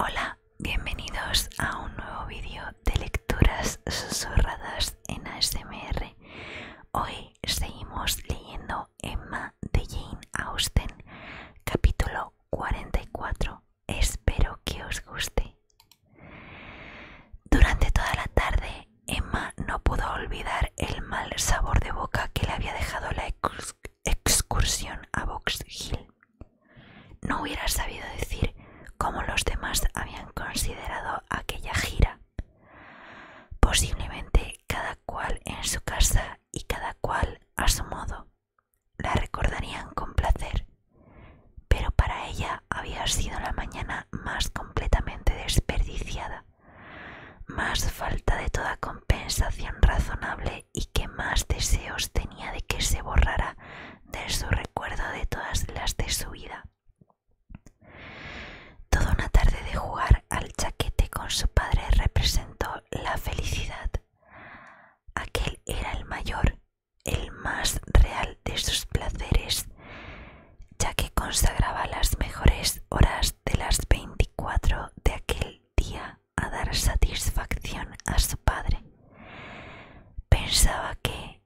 Hola, bienvenidos a un nuevo vídeo de lecturas susurradas en ASMR. Hoy seguimos leyendo Emma de Jane Austen, capítulo 44. Espero que os guste. Durante toda la tarde, Emma no pudo olvidar el mal sabor de boca que le había dejado la excursión a Box Hill. No hubiera sabido decir cómo los demás habían considerado aquella gira. Posiblemente cada cual en su casa y cada cual a su modo la recordarían con placer, pero para ella había sido la mañana más completamente desperdiciada, más falta de toda compensación razonable y que más deseos tenía de que se borrara de su recuerdo de todas las de su vida. Toda una tarde de jugar al chaquete con su padre representó la felicidad. Aquel era el mayor el más real de sus placeres, ya que consagraba las mejores horas de las 24 de aquel día a dar satisfacción a su padre. Pensaba que,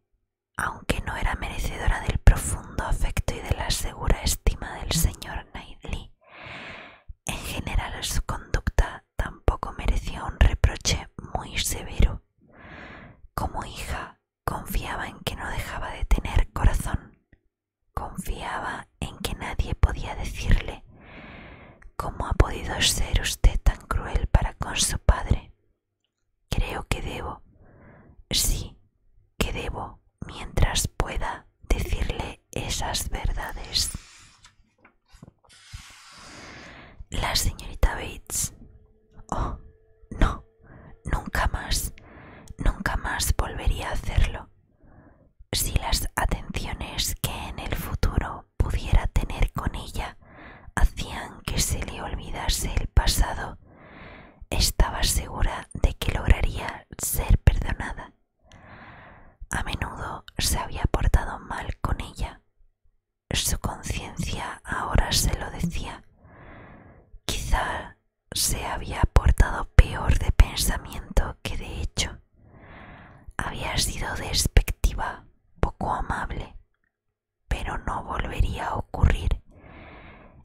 aunque no era merecedora del profundo afecto y de la segura estima del señor Knightley, en general su conducta tampoco merecía un reproche muy severo. Como hija confiaba en que no dejaba de tener corazón, confiaba en que nadie podía decirle ¿Cómo ha podido ser usted tan cruel para con su padre? Creo que debo, sí, que debo, mientras pueda, decirle esas verdades. La señorita Bates. Oh, no, nunca más, nunca más volvería a hacerlo. Si las atenciones que en el futuro pudiera tener con ella hacían que se le olvidase el pasado, estaba segura de que lograría ser perdonada. A menudo se había portado mal con ella, su conciencia ahora se lo decía. Quizá se había portado peor de pensamiento que de hecho. Había sido despectiva, poco amable, pero no volvería a ocurrir.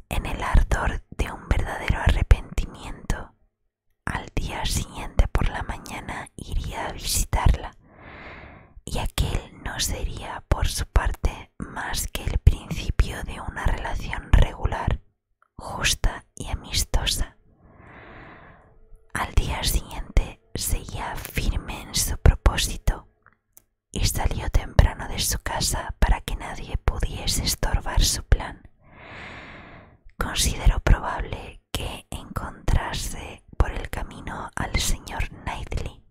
En el ardor de un verdadero arrepentimiento, al día siguiente por la mañana iría a visitarla y aquel no sería por su parte más que el principio de una relación regular, justa y amistosa. Al día siguiente seguía firme en su propósito y salió temprano de su casa para que nadie pudiese estorbar su plan. Consideró probable que encontrarse por el camino al señor Knightley,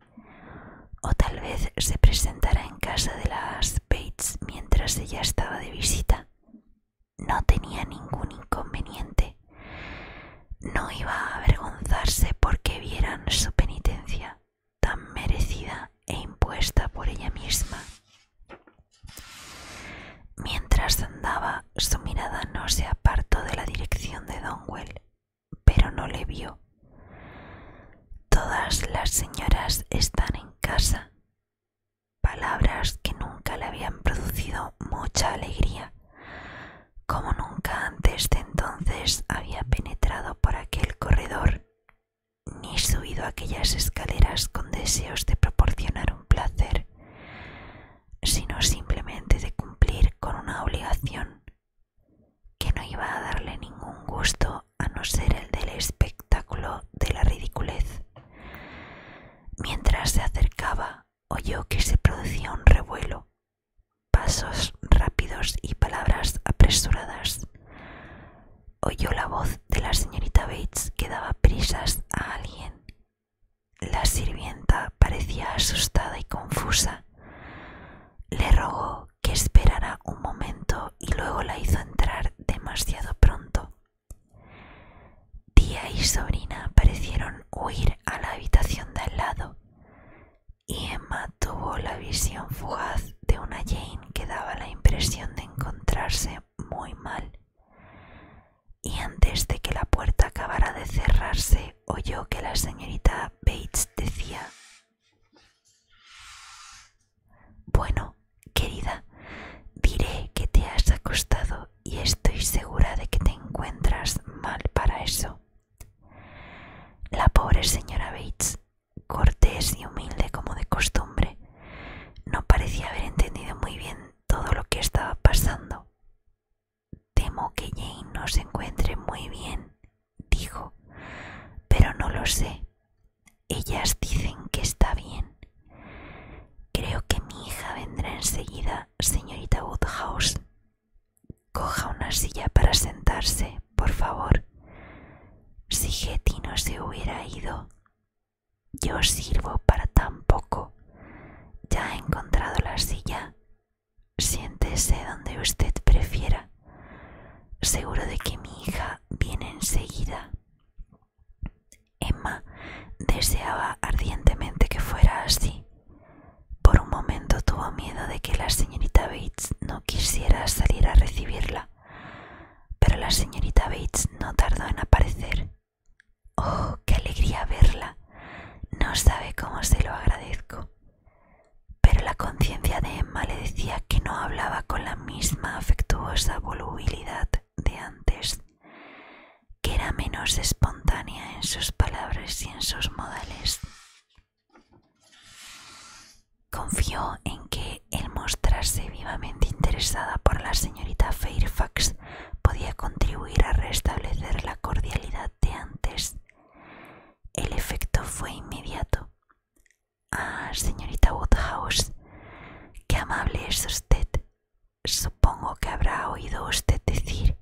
o tal vez se presentara en casa de las Bates mientras ella estaba de visita. No tenía ningún inconveniente. No iba a avergonzarse porque vieran su penitencia tan merecida e impuesta por ella misma. Mientras andaba, su mirada no se apartó de la dirección de Donwell pero no le vio. Todas las señoras están en casa. Palabras que nunca le habían producido mucha alegría, como nunca antes de entonces había penetrado por aquel corredor ni subido aquellas escaleras con deseos de proporcionar un placer sino simplemente de cumplir con una obligación que no iba a darle ningún gusto a no ser el del espectáculo de la ridiculez. Mientras se acercaba, oyó que se producía un revuelo, pasos rápidos y palabras apresuradas. Oyó la voz de la señorita Bates que daba prisas a alguien la sirvienta parecía asustada y confusa. Le rogó que esperara un momento y luego la hizo entrar demasiado pronto. Tía y sobrina parecieron huir a la habitación de al lado y Emma tuvo la visión fugaz de una Jane que daba la impresión de encontrarse muy mal. Y antes de que la puerta acabara de cerrarse, oyó que la señorita Bates decía Bueno, querida, diré que te has acostado y estoy segura de que te encuentras mal para eso. La pobre señora Bates, cortés y humilde como de costumbre, no parecía haber entendido muy bien todo lo que estaba pasando. Temo que Jane no se encuentre muy bien, dijo, pero no lo sé. Ellas dicen que está bien. Creo que mi hija vendrá enseguida, señorita Woodhouse. Coja una silla para sentarse, por favor. Si Getty no se hubiera ido, yo sirvo para tan poco. Ya he encontrado la silla Siéntese donde usted prefiera. Seguro de que mi hija viene enseguida. Emma deseaba ardientemente que fuera así. Por un momento tuvo miedo de que la señorita Bates no quisiera salir a recibirla, pero la señorita Bates no tardó en aparecer. ¡Oh, qué alegría verla! No sabe cómo se lo agradezco pero la conciencia de Emma le decía que no hablaba con la misma afectuosa volubilidad de antes, que era menos espontánea en sus palabras y en sus modales. Confió en que el mostrarse vivamente interesada por la señorita Fairfax podía contribuir a restablecer la cordialidad antes. El efecto fue inmediato. Ah, señorita Woodhouse, qué amable es usted. Supongo que habrá oído usted decir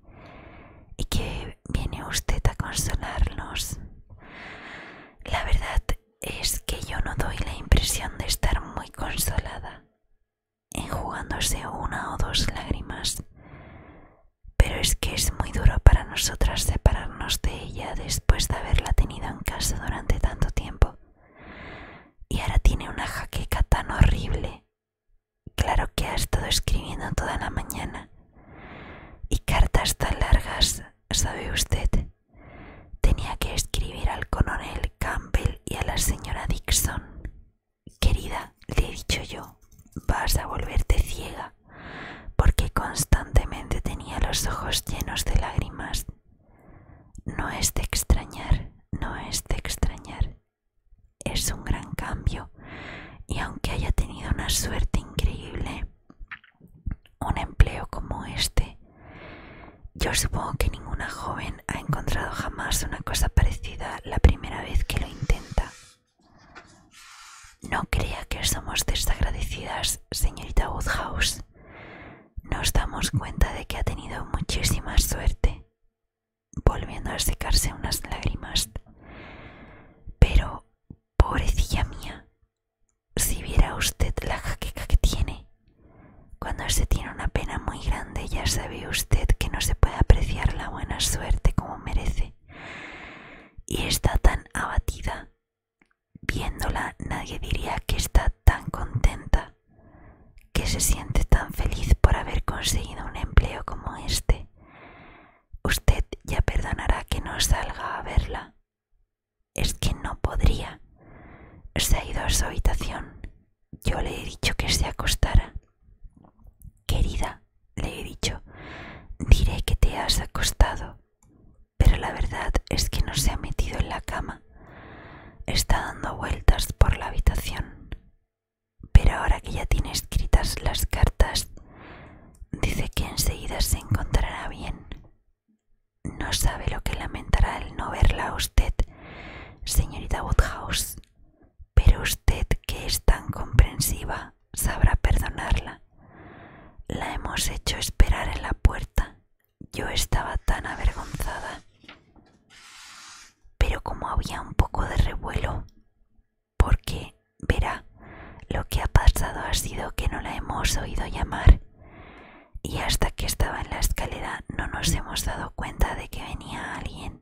y que viene usted a consolarnos. La verdad es que yo no doy la impresión de estar muy consolada, enjugándose una o dos lágrimas pero es que es muy duro para nosotras separarnos de ella después de haberla tenido en casa durante tanto tiempo. Y ahora tiene una jaqueca tan horrible. Claro que ha estado escribiendo toda la mañana. Y cartas tan largas, sabe usted. Tenía que escribir al coronel Campbell y a la señora Dixon. Querida, le he dicho yo, vas a volverte ciega, porque constantemente tenía los ojos llenos de lágrimas. No es de extrañar, no es de extrañar. Es un gran cambio, y aunque haya tenido una suerte increíble, un empleo como este, yo supongo que ninguna joven ha encontrado jamás una cosa parecida la primera vez que lo intenta. No crea que somos desagradecidas, señorita Woodhouse. Nos damos cuenta de que ha tenido muchísima suerte, volviendo a secarse unas lágrimas. Pero, pobrecilla mía, si viera usted la jaqueca que tiene, cuando se tiene una pena muy grande ya sabe usted que no se puede apreciar la buena suerte como merece y está tan abatida. Viéndola nadie diría que está tan contenta, que se siente tan feliz por haber conseguido un empleo como este. Usted ya perdonará que no salga a verla. Es que no podría. Se ha ido a su habitación. Yo le he dicho que se acostara. Querida, le he dicho, diré que te has acostado, pero la verdad es que no se ha metido en la cama. Está dando vueltas por la habitación. Pero ahora que ya tiene escritas las cartas, dice que enseguida se encontrará bien. No sabe lo que lamentará el no verla a usted, señorita Woodhouse, pero usted que es tan comprensiva sabrá perdonarla. La hemos hecho esperar en la puerta. Yo estaba tan avergonzada. Pero como había un poco de revuelo, porque, verá, lo que ha pasado ha sido que no la hemos oído llamar y hasta que estaba en la escalera no nos hemos dado cuenta de que venía alguien.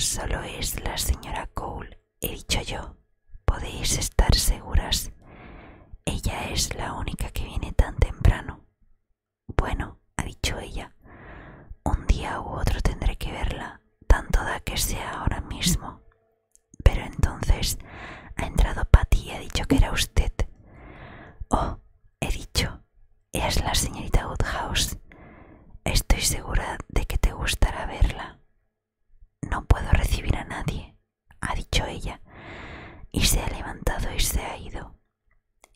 Solo es la señora Cole, he dicho yo. Podéis estar seguras. Ella es la única que viene tan temprano. Bueno, ha dicho ella, un día u otro tendré que verla, tanto da que sea ahora mismo. Pero entonces ha entrado Patty y ha dicho que era usted. Oh, he dicho, es la señorita Woodhouse. Estoy segura de que te gustará verla. No puedo recibir a nadie, ha dicho ella, y se ha levantado y se ha ido.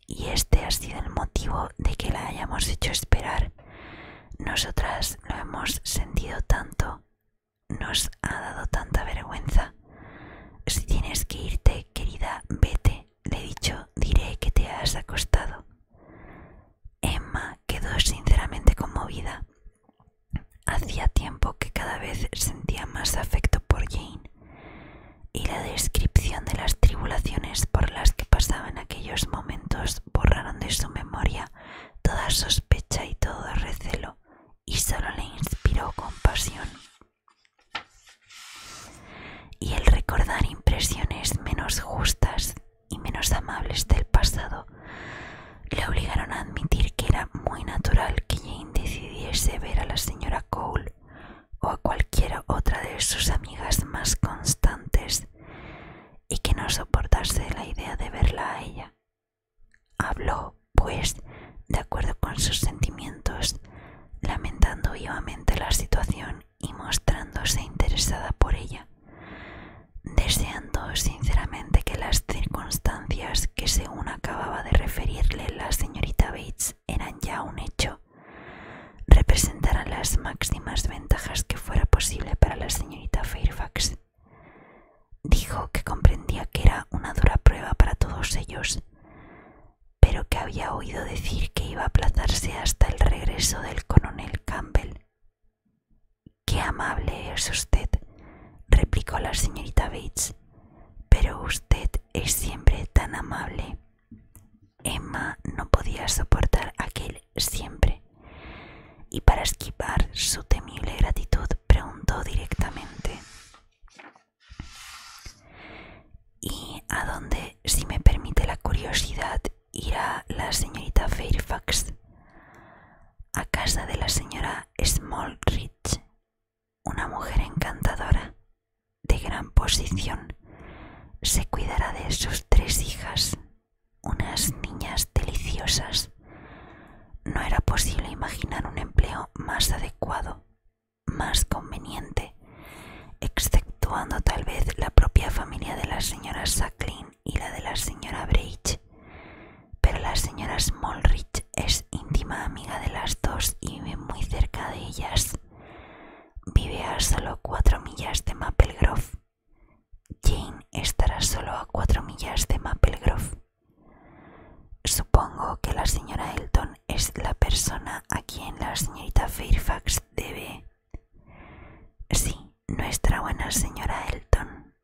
Y este ha sido el motivo de que la hayamos hecho esperar. Nosotras lo hemos sentido tanto, nos ha dado tanta vergüenza. Si tienes que irte, querida, vete, le he dicho, diré que te has acostado. Emma quedó sinceramente conmovida. Hacía tiempo que cada vez sentía más afecto por Jane, y la descripción de las tribulaciones por las que pasaban aquellos momentos borraron de su memoria toda sospecha y todo recelo, y solo le inspiró compasión. Y el recordar impresiones menos justas y menos amables del pasado le obligaron a admitir que era muy natural que Jane decidiese ver a la señora Cole o a cualquiera otra de sus amigas más constantes y que no soportase la idea de verla a ella. Habló, pues, de acuerdo con sus sentimientos, lamentando vivamente la situación y mostrándose interesada por ella, deseando sinceramente que las circunstancias que según acababa de referirle la señorita Bates eran ya un hecho, representaran las máximas ventajas que fuera posible para la señorita Fairfax. Dijo que comprendía que era una dura prueba para todos ellos, pero que había oído decir que iba a aplazarse hasta el regreso del coronel Campbell Qué amable es usted, replicó la señorita Bates, pero usted es siempre tan amable. Emma no podía soportar aquel siempre, y para esquivar su temible gratitud preguntó directamente ¿Y a dónde, si me permite la curiosidad, irá la señorita Fairfax a casa de la señora Smallridge, una mujer encantadora, de gran posición. Se cuidará de sus tres hijas, unas niñas deliciosas. No era posible imaginar un empleo más adecuado, más conveniente, exceptuando tal vez la propia familia de la señora Sacklin y la de la señora Breach, pero la señora Smallridge es íntima amiga de las dos y vive muy cerca de ellas. Vive a solo cuatro millas de Maple Jane estará solo a cuatro millas de Maple Supongo que la señora Elton es la persona a quien la señorita Fairfax debe Sí, nuestra buena señora Elton,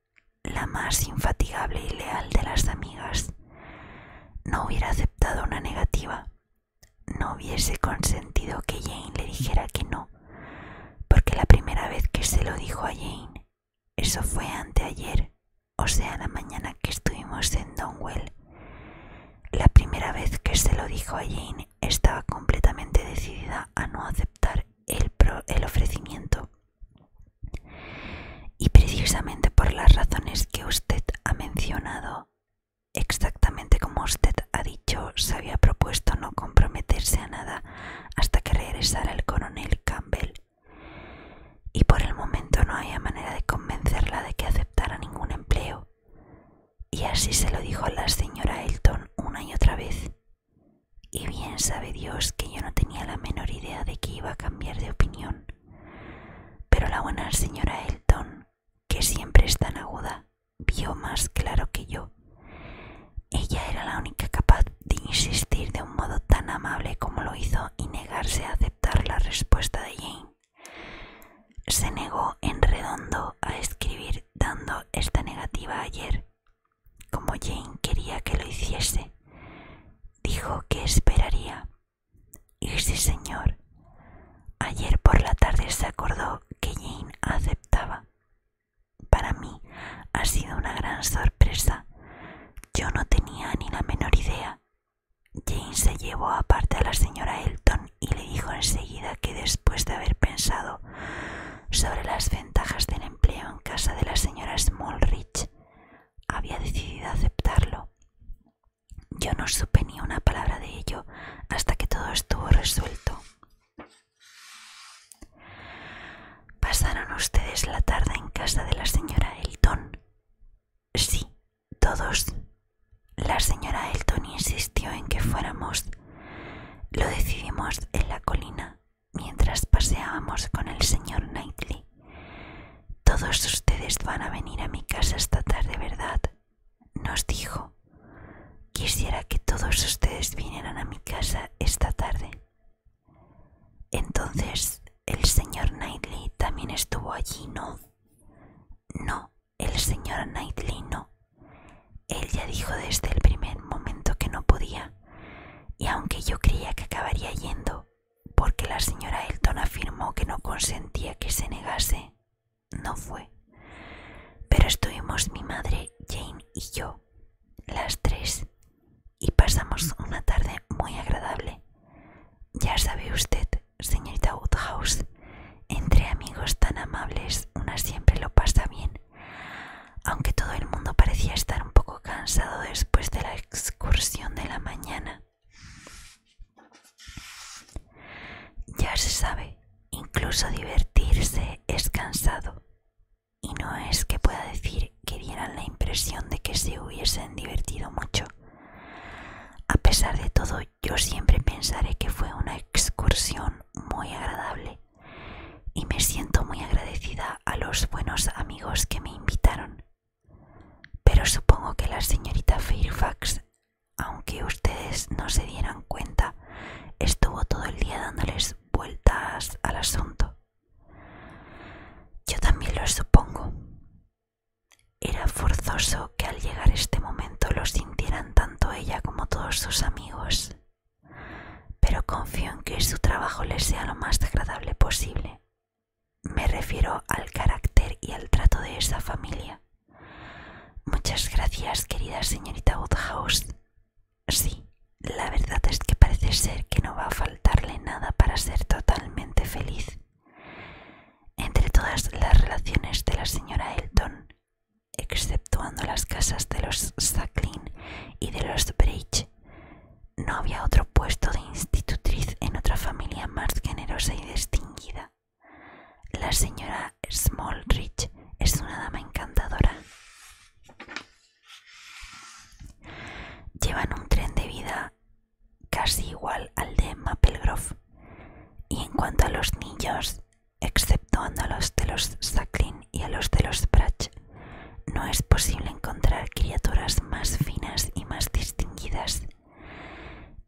la más infatigable y leal de las amigas, no hubiera aceptado una negativa, no hubiese consentido que Jane le dijera que no, porque la primera vez que se lo dijo a Jane, eso fue anteayer, o sea, la mañana que estuvimos en Donwell, la primera vez que se lo dijo a Jane estaba completamente decidida a no aceptar el, ofrecimiento. Y precisamente por las razones que usted ha mencionado, exactamente como usted ha dicho, se había propuesto no comprometerse a nada hasta que regresara el coronel Campbell. Y por el momento no había manera de convencerla de que aceptara ningún empleo. Y así se lo dijo la señora Elton una y otra vez, y bien sabe Dios que yo no tenía la menor idea de que iba a cambiar de opinión, pero la buena señora Elton, que siempre es tan aguda, vio más claro que yo. Ella era la única capaz de insistir de un modo tan amable como lo hizo y negarse a aceptar la respuesta de Jane. Se negó en redondo a escribir dando esta negativa ayer como Jane quería que lo hiciese, dijo que esperaría. Y sí, señor, ayer por la tarde se acordó que Jane aceptaba. Para mí ha sido una gran sorpresa. Yo no tenía ni la menor idea. Jane se llevó aparte a la señora Elton y le dijo enseguida que después de haber pensado sobre las ventajas del empleo en casa de la señora Smallridge. Había decidido aceptarlo. Yo no supe ni una palabra de ello hasta que todo estuvo resuelto. ¿Pasaron ustedes la tarde en casa de la señora Elton? Sí, todos. La señora Elton insistió en que fuéramos lo decidimos en la colina mientras paseábamos con el señor Knightley. Todos ustedes van a venir a mi casa esta tarde, ¿verdad? Nos dijo. Quisiera que todos ustedes vinieran a mi casa esta tarde. Entonces, el señor Knightley también estuvo allí, ¿no? No, el señor Knightley no. Él ya dijo desde el primer momento que no podía, y aunque yo creía que acabaría yendo, porque la señora Elton afirmó que no consentía que se negase, no fue. Pero estuvimos mi madre, Jane y yo, las tres, y pasamos una tarde muy agradable. Ya sabe usted, señorita Woodhouse, entre amigos tan amables una siempre lo pasa bien aunque todo el mundo parecía estar un poco cansado después de la excursión de la mañana. Ya se sabe, incluso divertirse es cansado, y no es que pueda decir que dieran la impresión de que se hubiesen divertido mucho. A pesar de todo, yo siempre pensaré que fue una excursión muy agradable y me siento muy agradecida a los buenos amigos que me invitaron. Pero supongo que la señorita Fairfax, aunque ustedes no se dieran cuenta, estuvo todo el día dándoles vueltas al asunto. Yo también lo supongo. Era forzoso que al llegar este momento lo sintieran tanto ella como todos sus amigos, pero confío en que su trabajo le sea lo más agradable posible. Me refiero al carácter y al trato de esa familia. Muchas gracias, querida señorita Woodhouse. Sí, la verdad es que parece ser que no va a faltarle nada para ser totalmente feliz. Entre todas las relaciones de la señora Elton, exceptuando las casas de los Sacklin y de los Bridge. No había otro puesto de institutriz en otra familia más generosa y distinguida. La señora Smallridge es una dama encantadora. Llevan un tren de vida casi igual al de Maple Y en cuanto a los niños, exceptuando a los de los Sacklin y a los de los Brach, no es posible encontrar criaturas más finas y más distinguidas.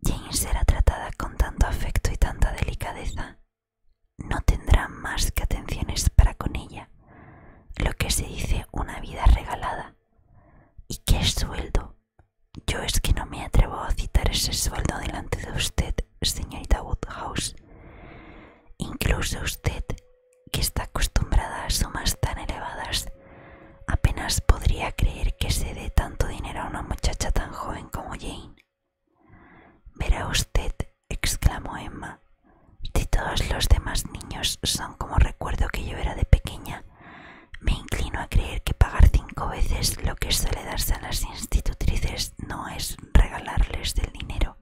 Jane será tratada con tanto afecto y tanta delicadeza. No tendrá más que atenciones para con ella, lo que se dice una vida regalada. ¿Y qué sueldo? Yo es que no me atrevo a citar ese sueldo delante de usted señorita Woodhouse. Incluso usted, que está acostumbrada a sumas tan elevadas, apenas podría creer que se dé tanto dinero a una muchacha tan joven como Jane. Verá usted, exclamó Emma, si todos los demás niños son como recuerdo que yo era de pequeña, me inclino a creer que pagar cinco veces lo que suele darse a las institutrices no es regalarles el dinero.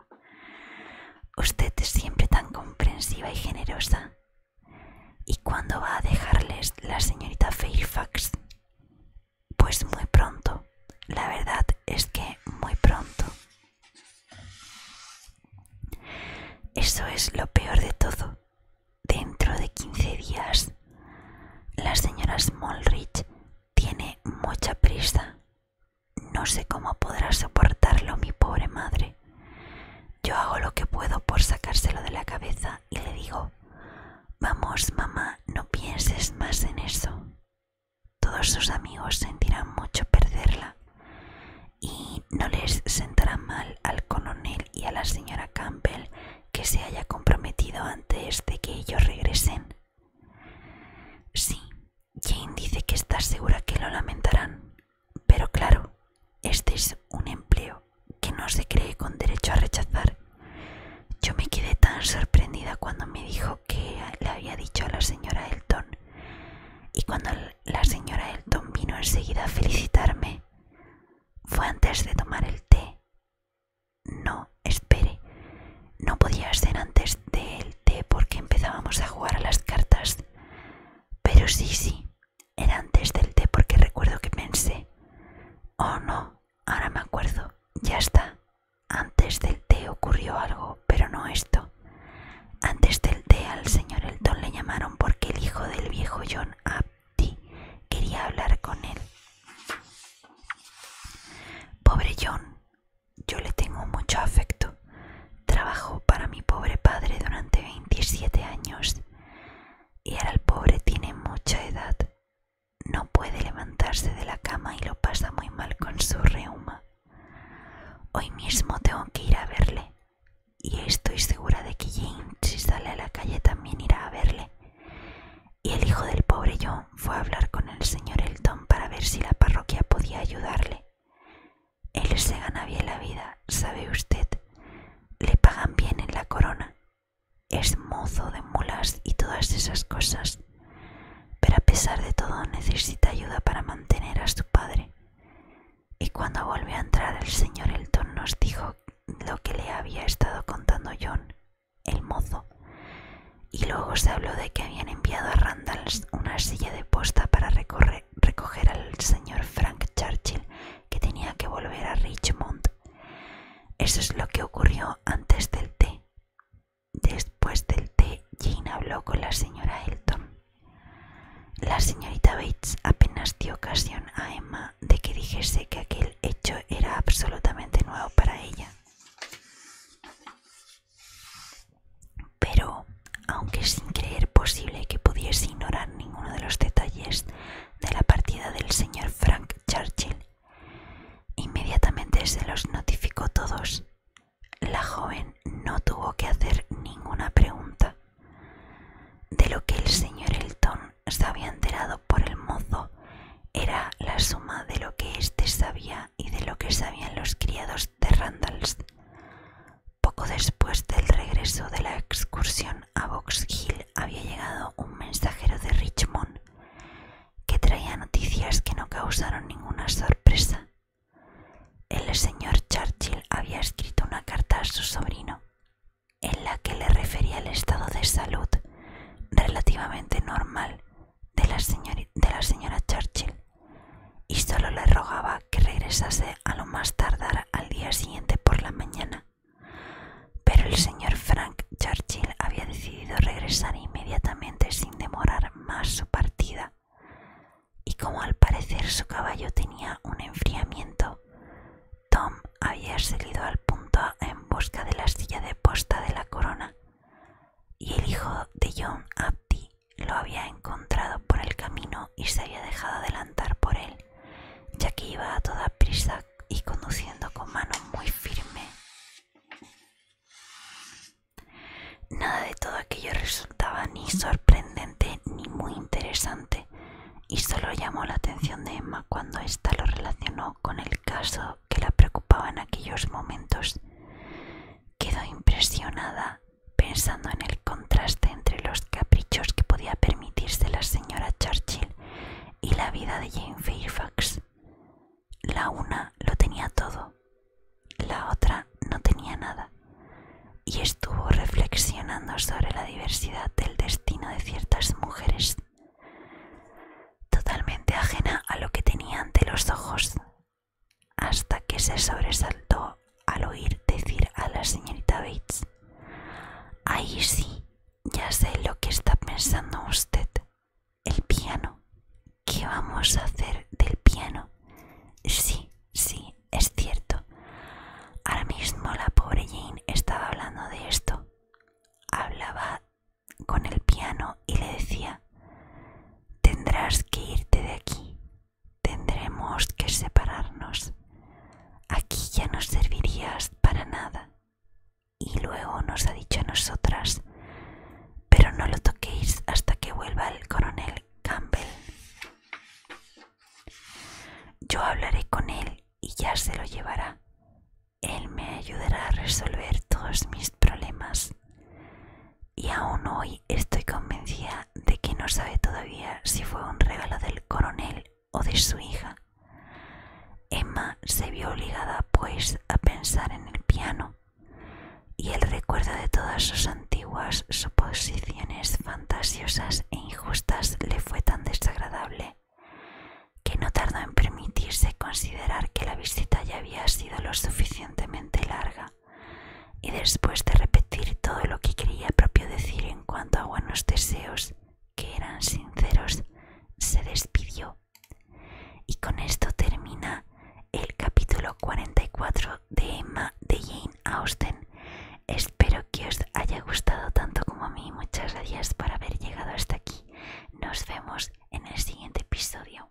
Usted es siempre tan comprensiva y generosa. ¿Y cuándo va a dejarles la señorita Fairfax? Pues muy pronto. La verdad es que muy pronto. Eso es lo peor de todo. Dentro de 15 días, la señora Smallridge tiene mucha prisa no sé cómo podrá soportarlo mi pobre madre. Yo hago lo que puedo por sacárselo de la cabeza y le digo, vamos mamá, no pienses más en eso. Todos sus amigos sentirán mucho perderla y no les sentará mal al coronel y a la señora Campbell que se haya comprometido antes de que ellos regresen. Sí, Jane dice que está segura que lo lamentarán, pero claro, este es un empleo que no se cree con derecho a rechazar. Yo me quedé tan sorprendida cuando me dijo que le había dicho a la señora Elton y cuando la señora Elton vino enseguida a felicitarme, fue antes de tomar el té. No, espere. No podía ser antes del té porque empezábamos a jugar a las cartas. Pero sí, sí, era antes del té porque recuerdo que pensé. Oh no, ahora me acuerdo, ya está. Antes del té ocurrió algo, pero no esto. Antes del té al señor Elton le llamaron porque el hijo del viejo John Abdi quería hablar con él. Pobre John, yo le tengo mucho afecto. Trabajo para mi pobre padre durante 27 años y ahora el pobre tiene mucha edad. No puede levantarse de la cama y lo pasa muy mal con su reuma. Hoy mismo tengo que ir a verle y estoy segura de que Jane si sale a la calle también irá a verle. Y el hijo del pobre John fue a hablar con el señor Elton para ver si la parroquia podía ayudarle. Él se gana bien la vida, sabe usted. Le pagan bien en la corona. Es mozo de mulas y todas esas cosas. Pero a pesar de todo necesita ayuda para mantener a su padre. Y cuando volvió a entrar el señor Elton nos dijo lo que le había estado contando John, el mozo, y luego se habló de que habían enviado a Randalls una silla de posta para recoger al señor Frank Churchill que tenía que volver a Richmond. Eso es lo que ocurrió antes del té. Después del té, Jane habló con la señora Elton. La señorita Bates apenas dio ocasión a Emma de que dijese que aquel hecho era absolutamente nuevo para ella. Pero, aunque sin creer posible que pudiese ignorar ninguno de los detalles de la partida del señor Frank Churchill, inmediatamente se los notificó todos. La joven no tuvo que hacer ninguna pregunta. De lo que el señor Elton se había enterado por el mozo era la suma de lo que éste sabía y de lo que sabían los criados de Randalls. Poco después del regreso de la excursión a Box Hill había llegado un mensajero de Richmond que traía noticias que no causaron ninguna sorpresa. El señor Churchill había escrito una carta a su sobrino en la que le refería el estado de salud relativamente normal de la, señora Churchill y solo le rogaba que regresase a lo más tardar al día siguiente por la mañana. Pero el señor Frank Churchill había decidido regresar inmediatamente sin demorar más su partida, y como al parecer su caballo tenía un enfriamiento, Tom había salido al punto en busca de la silla de posta de la corona, y el hijo de John lo había encontrado por el camino y se había dejado adelantar por él, ya que iba a toda prisa y conduciendo con mano muy firme. Nada de todo aquello resultaba ni sorprendente ni muy interesante y solo llamó la atención de Emma cuando ésta lo relacionó con el caso que la preocupaba en aquellos momentos. Quedó impresionada pensando en el contraste entre los caprichos que podía permitirse la señora Churchill y la vida de Jane Fairfax. La una lo tenía todo, la otra no tenía nada, y estuvo reflexionando sobre la diversidad del destino de ciertas mujeres, totalmente ajena a lo que tenía ante los ojos hasta que se sobresaltó al oír decir a la señorita Bates. Ahí sí, ya sé lo que está pensando usted. El piano. ¿Qué vamos a hacer del piano? Sí, sí, es cierto. Ahora mismo la pobre Jane estaba hablando de esto. Hablaba con el piano y le decía, Tendrás que irte de aquí. Tendremos que separarnos. Aquí ya no servirías para nada. Y luego nos ha dicho a nosotras, pero no lo toquéis hasta que vuelva el coronel Campbell. Yo hablaré con él y ya se lo llevará. Él me ayudará a resolver todos mis problemas. Y aún hoy estoy convencida de que no sabe todavía si fue un regalo del coronel o de su hija. Emma se vio obligada, pues, a pensar en el piano y el recuerdo de todas sus antiguas suposiciones fantasiosas e injustas le fue tan desagradable que no tardó en permitirse considerar que la visita ya había sido lo suficientemente larga y después de repetir todo lo que quería propio decir en cuanto a buenos deseos, que eran sinceros, se despidió. Y con esto termina el capítulo 44 de Emma de Jane Austen. Espero que os haya gustado tanto como a mí. Muchas gracias por haber llegado hasta aquí. Nos vemos en el siguiente episodio.